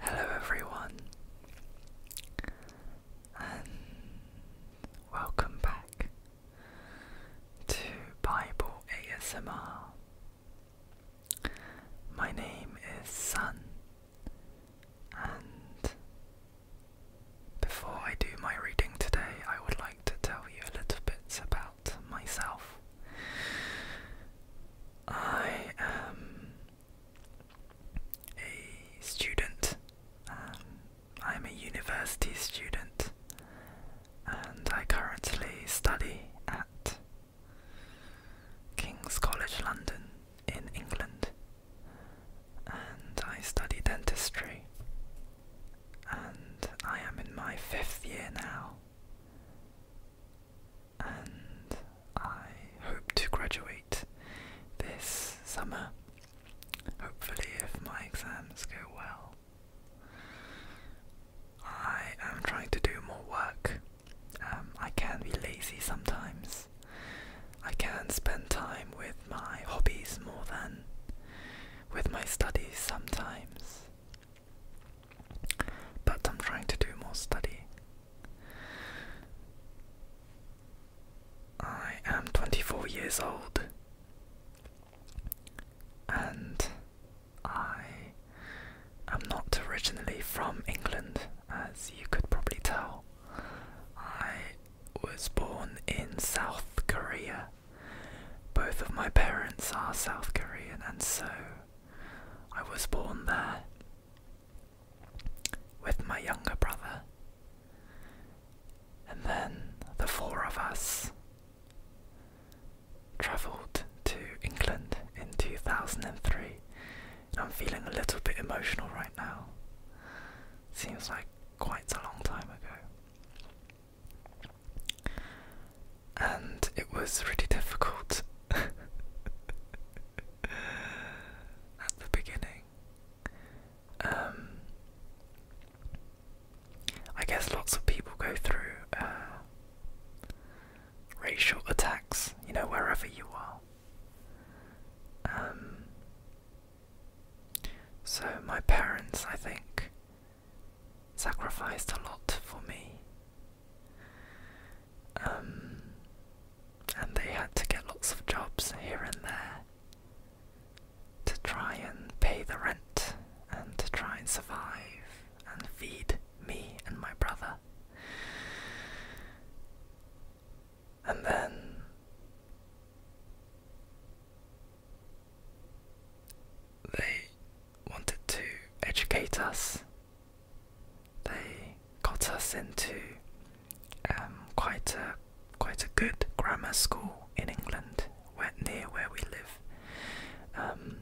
Hello, everyone, and welcome back to Bible ASMR. My name is Sun, and before I do my reading today, I would like to tell you a little bit about myself. I am a student. Um, I'm a university student and I currently study at King's College London in England and I study dentistry and I am in my fifth year now and I hope to graduate this summer. Hopefully, if my exams go well. I am trying to do more work. Um, I can be lazy sometimes. I can spend time with my hobbies more than with my studies sometimes. But I'm trying to do more studying. I am 24 years old and I am not originally from England, as you could probably tell. I was born in South Korea. Both of my parents are South Korean, and so I was born there with my younger brother. And then the four of us travelled to England in 2003. I'm feeling a little bit emotional right now. Seems like quite a long time ago and it was really difficult at the beginning. Um, I guess lots of people go through uh, racial attacks, you know, wherever you are. Um, so, my parents, I think, sacrificed a lot for me. Um, and they had to get lots of jobs here and there to try and pay the rent and to try and survive and feed me and my brother. And then they wanted to educate us they got us into um, quite a quite a good grammar school in England, where, near where we live. Um,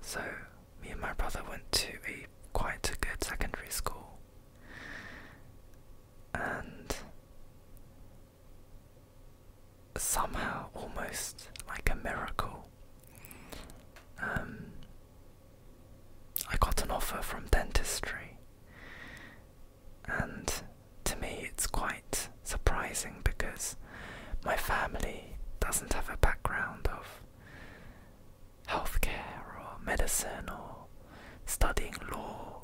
so me and my brother went to a quite a good secondary school, and somehow, almost like a miracle, um, I got an offer from dentistry, and to me, it's quite surprising because my family doesn't have a background of healthcare or medicine or studying law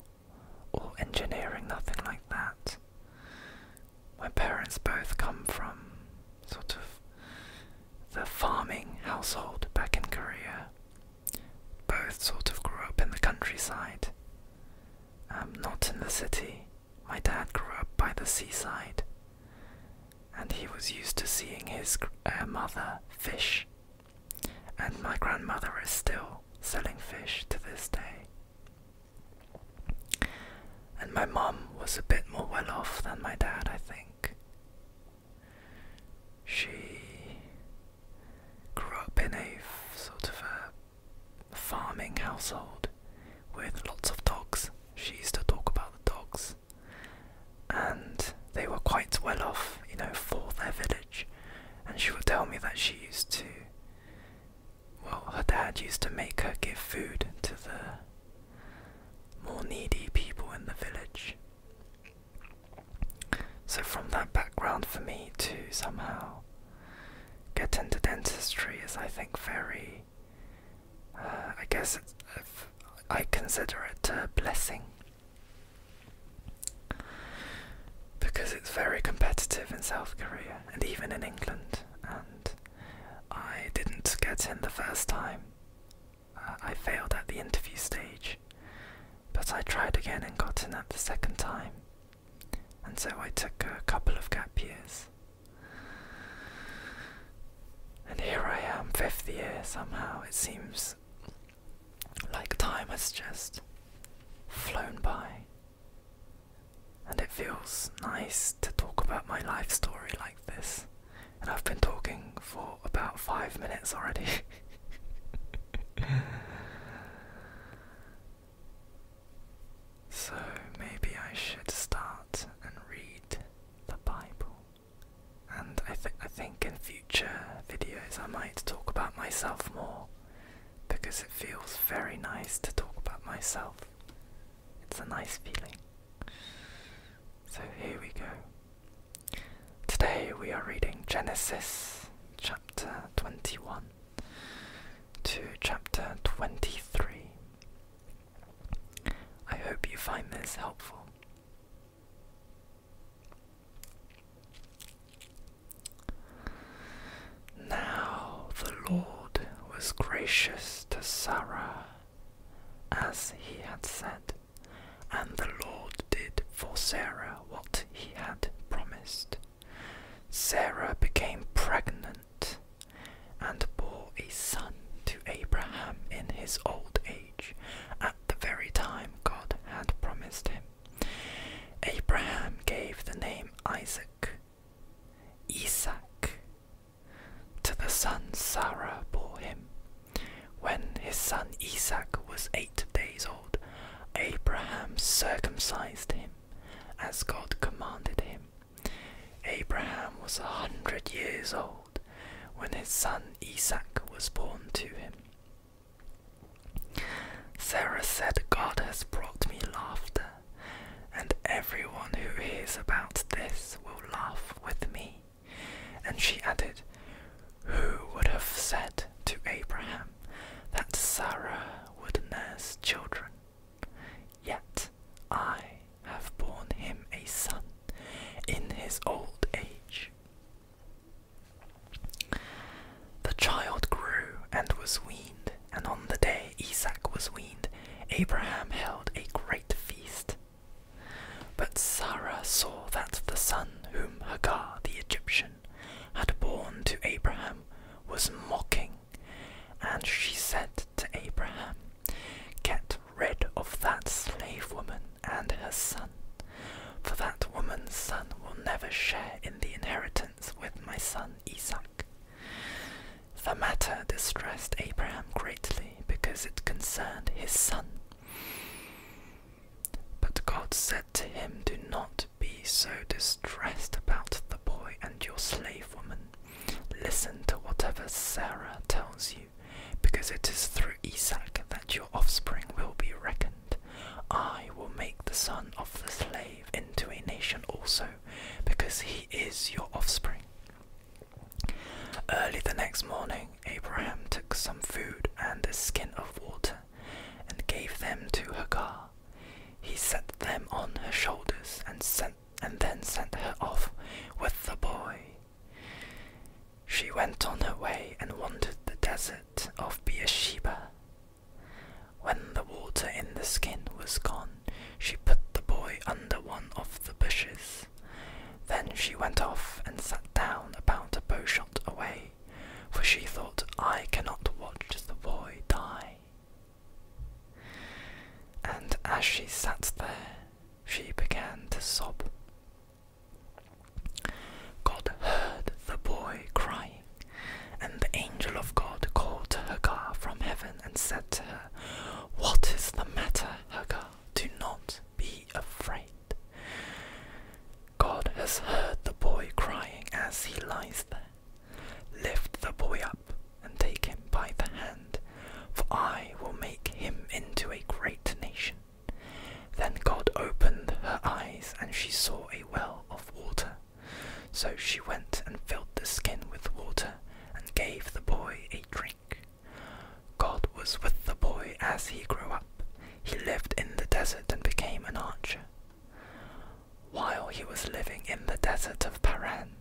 or engineering, nothing like that. My parents both come from sort of the farming household back in Korea. Both sort of grew up in the countryside. Um, not in the city. My dad grew up by the seaside, and he was used to seeing his uh, mother fish. And my grandmother is still selling fish to this day. And my mum was a bit more well off than my dad, I think. She grew up in a sort of a farming household with lots of dogs. She used to talk about the dogs, and they were quite well off, you know, for their village. And she would tell me that she used to, well, her dad used to make her give food to the more needy people in the village. So, from that background, for me to somehow get into dentistry is, I think, very. Uh, I guess I consider it a blessing because it's very competitive in South Korea and even in England, and I didn't get in the first time. Uh, I failed at the interview stage, but I tried again and got in at the second time, and so I took a couple of gap years. And here I am, fifth year somehow. It seems like time has just flown by. And it feels nice to talk about my life story like this and I've been talking for about five minutes already. so maybe I should start and read the Bible. And I think I think in future videos I might talk about myself more because it feels very nice to talk about myself. It's a nice feeling. So here we go. Today we are reading Genesis chapter 21 to chapter 23. I hope you find this helpful. Now the Lord was gracious to Sarah as he had said, and the Lord did for Sarah what he had promised. Sarah became pregnant and bore a son to Abraham in his old age, at the very time God had promised him. Abraham gave the name Isaac. Isaac to the son Sarah bore him. When his son Isaac was eight days old, Abraham circumcised him, as God commanded him. Abraham was a hundred years old when his son Isaac was born to him. Sarah said, God has brought me laughter, and everyone who hears about this will laugh with me. And she added, Who would have said to Abraham that Sarah would nurse children? Yet I have borne him a son in his old age. The child grew and was weaned, and on the day Isaac was weaned, Abraham held a great feast, but Sarah saw that the son whom Hagar the Egyptian had borne to Abraham was mocking, and she said to Abraham, Get rid of that slave woman and her son, for that woman's son will never share in the inheritance with my son Isaac. The matter distressed Abraham greatly because it concerned his son, but God said to him, Do not be so distressed about the boy and your slave woman. Listen to whatever Sarah tells you, because it is through Isaac that your offspring will be reckoned. I will make the son of the slave into a nation also, because he is your offspring. Early the next morning, Abraham took some food and a skin of water and gave them to Hagar. He set them on her shoulders and sent and then sent her off with the boy. She went on her way and wandered the desert of Beersheba. When the water in the skin was gone, she put the boy under one of the bushes. Then she went off and sat down about a bowshot away, for she thought, I cannot watch the boy die. And as she sat there, she began to sob. God heard the boy crying, and the angel of God called to Hagar from heaven and said to her, What is the matter, Hagar? Do not be afraid. God has heard the boy crying as he lies there. Lift the boy up and take him by the hand, for I will make him into a great nation. Then God opened her eyes, and she saw a well of water. So she went and filled the skin with water, and gave the boy a drink. God was with the boy as he grew up. He lived in the desert and became an archer. While he was living in the desert of Paran,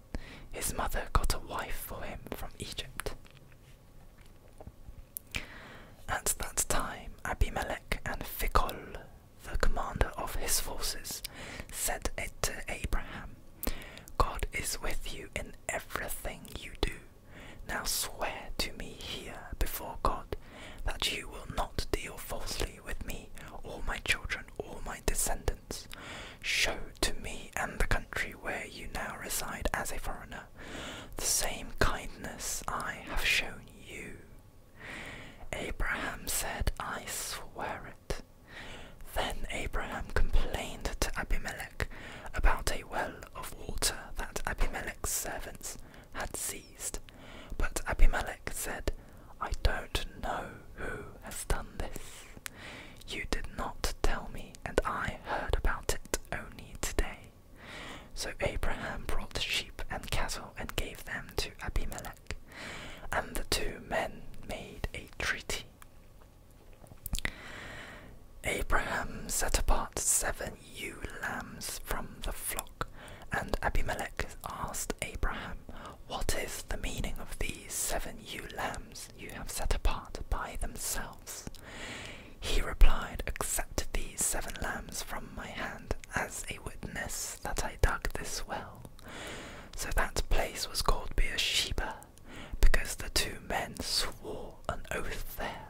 his mother got a wife for him from Egypt. At that time, Abimelech and Phicol, the commander of his forces, said it to Abraham God is with you in everything you do. Now swear to me here before God that you will not deal falsely with me, or my children, or my descendants. Show to me and the country where you now reside as a foreigner the same kindness I have shown you. Abraham said, I swear it. Then Abraham complained to Abimelech about a well of water that Abimelech's servants had seized. But Abimelech said, I don't know who has done this. You did not tell me, and I heard about it only today. So Abraham brought sheep and cattle and gave them to Abimelech, and the two men made a treaty. Abraham set apart seven ewe lambs from the flock, and Abimelech asked Abraham, What is the meaning of these seven ewe lambs you have set apart by themselves? He replied, Accept these seven lambs from my hand as a witness that I dug this well. So that place was called Beersheba, because the two men swore an oath there.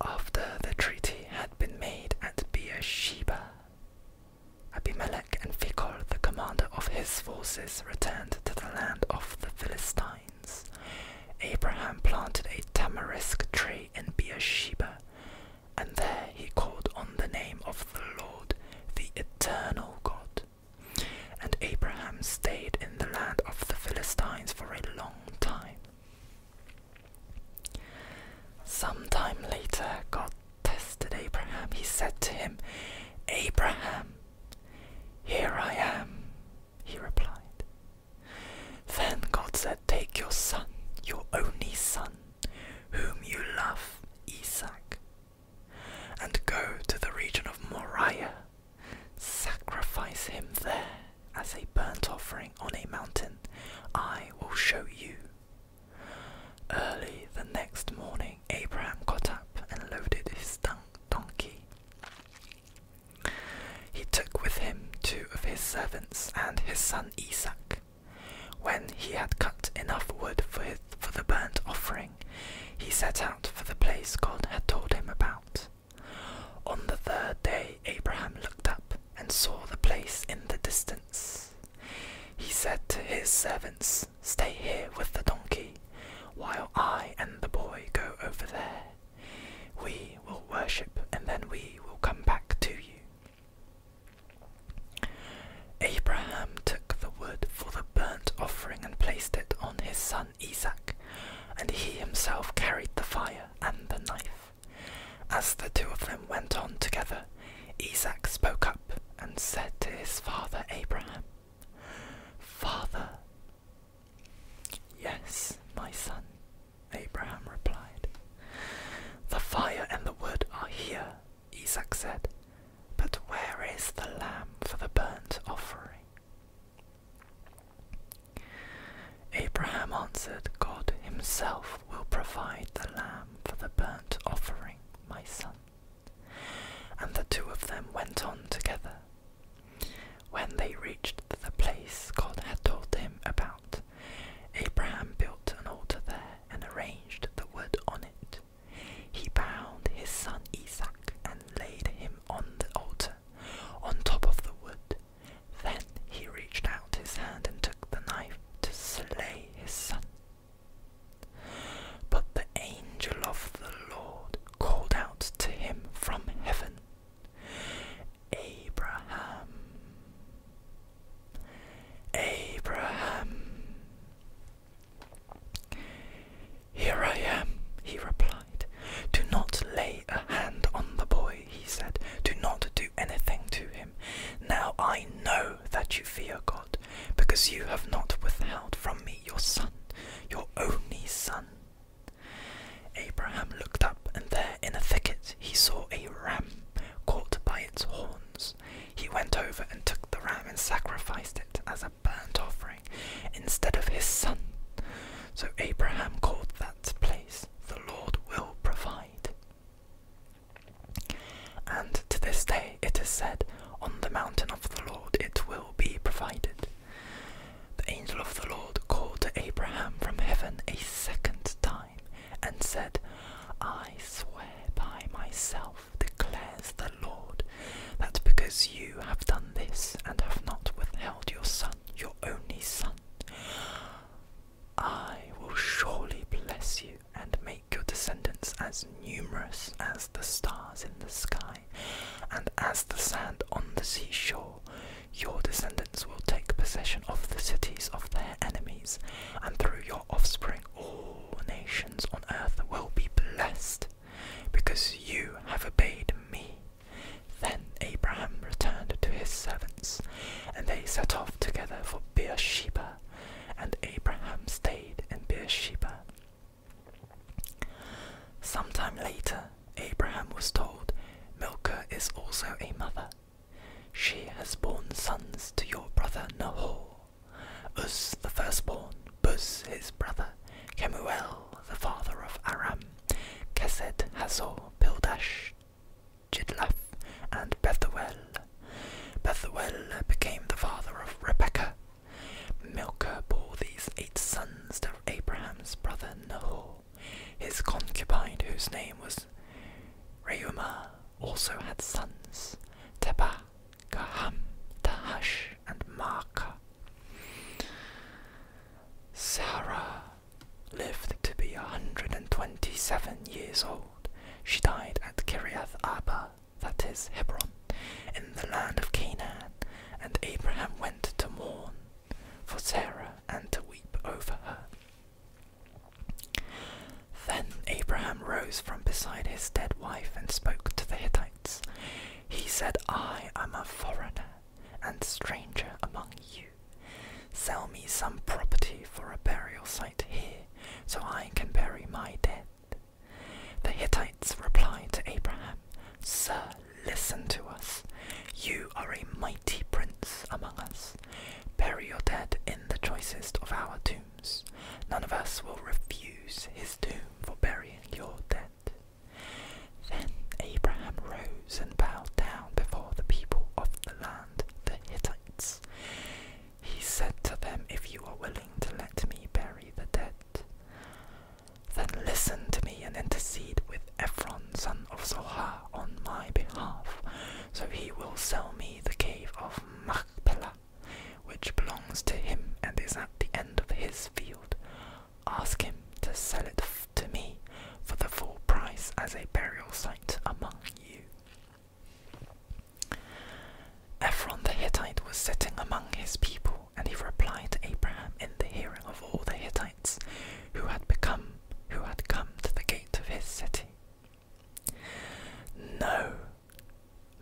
After the treaty had been made at Beer-sheba, Abimelech and Phicol, the commander of his forces, returned to the land of the Philistines. Abraham planted a tamarisk tree in Beer-sheba, and there he called on the name of the Lord, the eternal God. And Abraham stayed in the land of the Philistines for a long time. Some time later, God tested Abraham. He said to him, Abraham, here I am, he replied. Then God said, Take your son, your only son, whom you love, Isaac, and go to the region of Moriah Sacrifice him there as a burnt offering on a mountain. I will show you. Early the next morning, Abraham got up and loaded his donkey. He took with him two of his servants and his son Isaac. When he had cut enough wood for, for the burnt offering, he set out for the place God had told him about. On the third day, Abraham looked up and saw the place in the distance. He said to his servants, Stay here with the donkey, while I and the boy go over there. We will worship, and then we will come back to you. Abraham took the wood for the burnt offering and placed it on his son Isaac, and he himself carried the fire and the knife. As the two of them went on together, Isaac spoke up and said to his father Abraham, Father, yes, my son, Abraham replied. The fire and the wood are here, Isaac said, but where is the lamb for the burnt offering? Abraham answered, God himself will provide the lamb for the burnt offering, my son. And the two of them went on together. When they reached the place God had told him about, Abraham built an altar there and arranged the wood on it. He bound his son Isaac and laid him on the altar on top of the wood. Then he reached out his hand and took the knife to slay his son. But the angel of the Lord called out to him from heaven, Abraham, Abraham. Here I am, he replied. Do not lay a hand on the boy, he said. Do not do anything to him. Now I know that you fear God, because you have not withheld from me your son, your only son. Abraham looked up, and there in a thicket he saw a ram caught by its horns. He went over and took the ram and sacrificed it as a burnt offering instead of his son. So Abraham called that place, The Lord Will Provide. And to this day it is said, On the mountain of the Lord it will be provided. The angel of the Lord called to Abraham from heaven a second time and said, I swear by myself, declares the Lord, that because you have done this and have not withheld your son, your" only son. I will surely bless you and make your descendants as numerous as the stars in the sky and as the sand on the seashore. Your descendants will take possession of the cities of their enemies, and through your offspring, all nations on earth will be blessed because you have obeyed me. Then Abraham returned to his servants, and they set off together for Beer-sheba, and Abraham stayed in Beer-sheba. Some time later, Abraham was told, Milcah is also a mother. She has borne sons to your brother Nahor, Uz the firstborn, Bus, his brother, Kemuel the father of Aram, Kesed, Hazor, Pildash, Jidlaf, and Bethuel. Bethuel became the father of Rebekah. Milcah bore these eight sons to Abraham's brother Nahor. His concubine, whose name was Reumah, also had sons Tebah, Gaham, Tahash, and Maacah. Sarah lived to be 127 years old. She died at Kiriath Abba, that is Hebron, in the land of Canaan, and Abraham went to mourn for Sarah and to weep over her. Then Abraham rose from beside his dead wife and spoke to the Hittites. He said, I am a foreigner and stranger among you. Sell me some property for a burial site here, so I can bury my dead. The Hittites replied to Abraham, Sir, listen to us. You are a mighty prince among us. Bury your dead in the choicest of our tombs. None of us will refuse his tomb for burying your dead. Then Abraham rose and bowed down before the people of the land, the Hittites. He said to them, If you are willing to let me bury the dead, then listen to me and intercede with Ephron, son of Zohar, on my behalf, so he will sell me the cave of Machpelah, which belongs to him and is at the end of his field. Ask him to sell it to me for the full price as a burial site among you. Ephron the Hittite was sitting among his people, and he replied to Abraham in the hearing of all the Hittites who had become who had come to the gate of his city. No,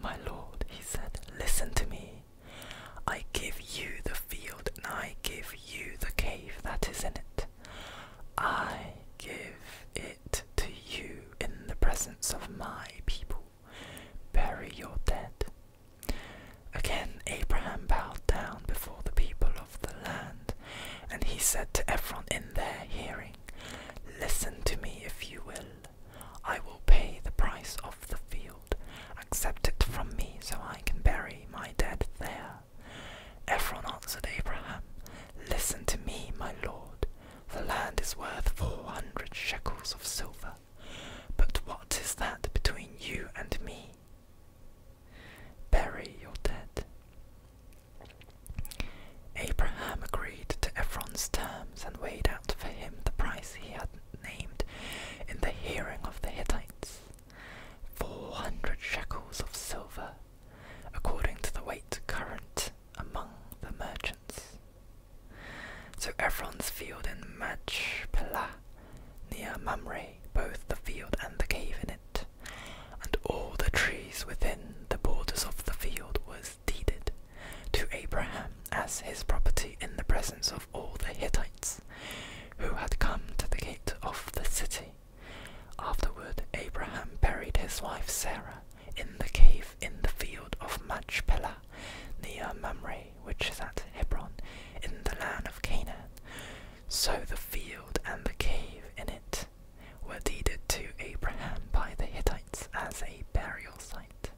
my lord, he said, listen to me. I give you the field, and I give you the cave that is in it. I give it to you in the presence of my people. Bury your dead. Again Abraham bowed down before the people of the land, and he said to everyone in their hearing, Listen to me if you will. I will pay the price of the field. Accept it from me so I can bury my dead there. Ephron answered Abraham, Listen to me, my lord. The land is worth four hundred shekels of silver. But what is that between you and me? Bury your dead. Abraham agreed to Ephron's terms and weighed out for him the price he had named in the hearing of the Hittites four hundred shekels of silver, according to the weight current among the merchants. So Ephron's field in Machpelah, near Mamre, both the field and the cave in it, and all the trees within the borders of the field was deeded to Abraham as his property in the presence of all the Hittites, who had come to the gate of the city. Afterward, Abraham buried his wife Sarah in the cave in the field of Machpelah, near Mamre, which is at Hebron, in the land of Canaan. So the field and the cave in it were deeded to Abraham by the Hittites as a burial site.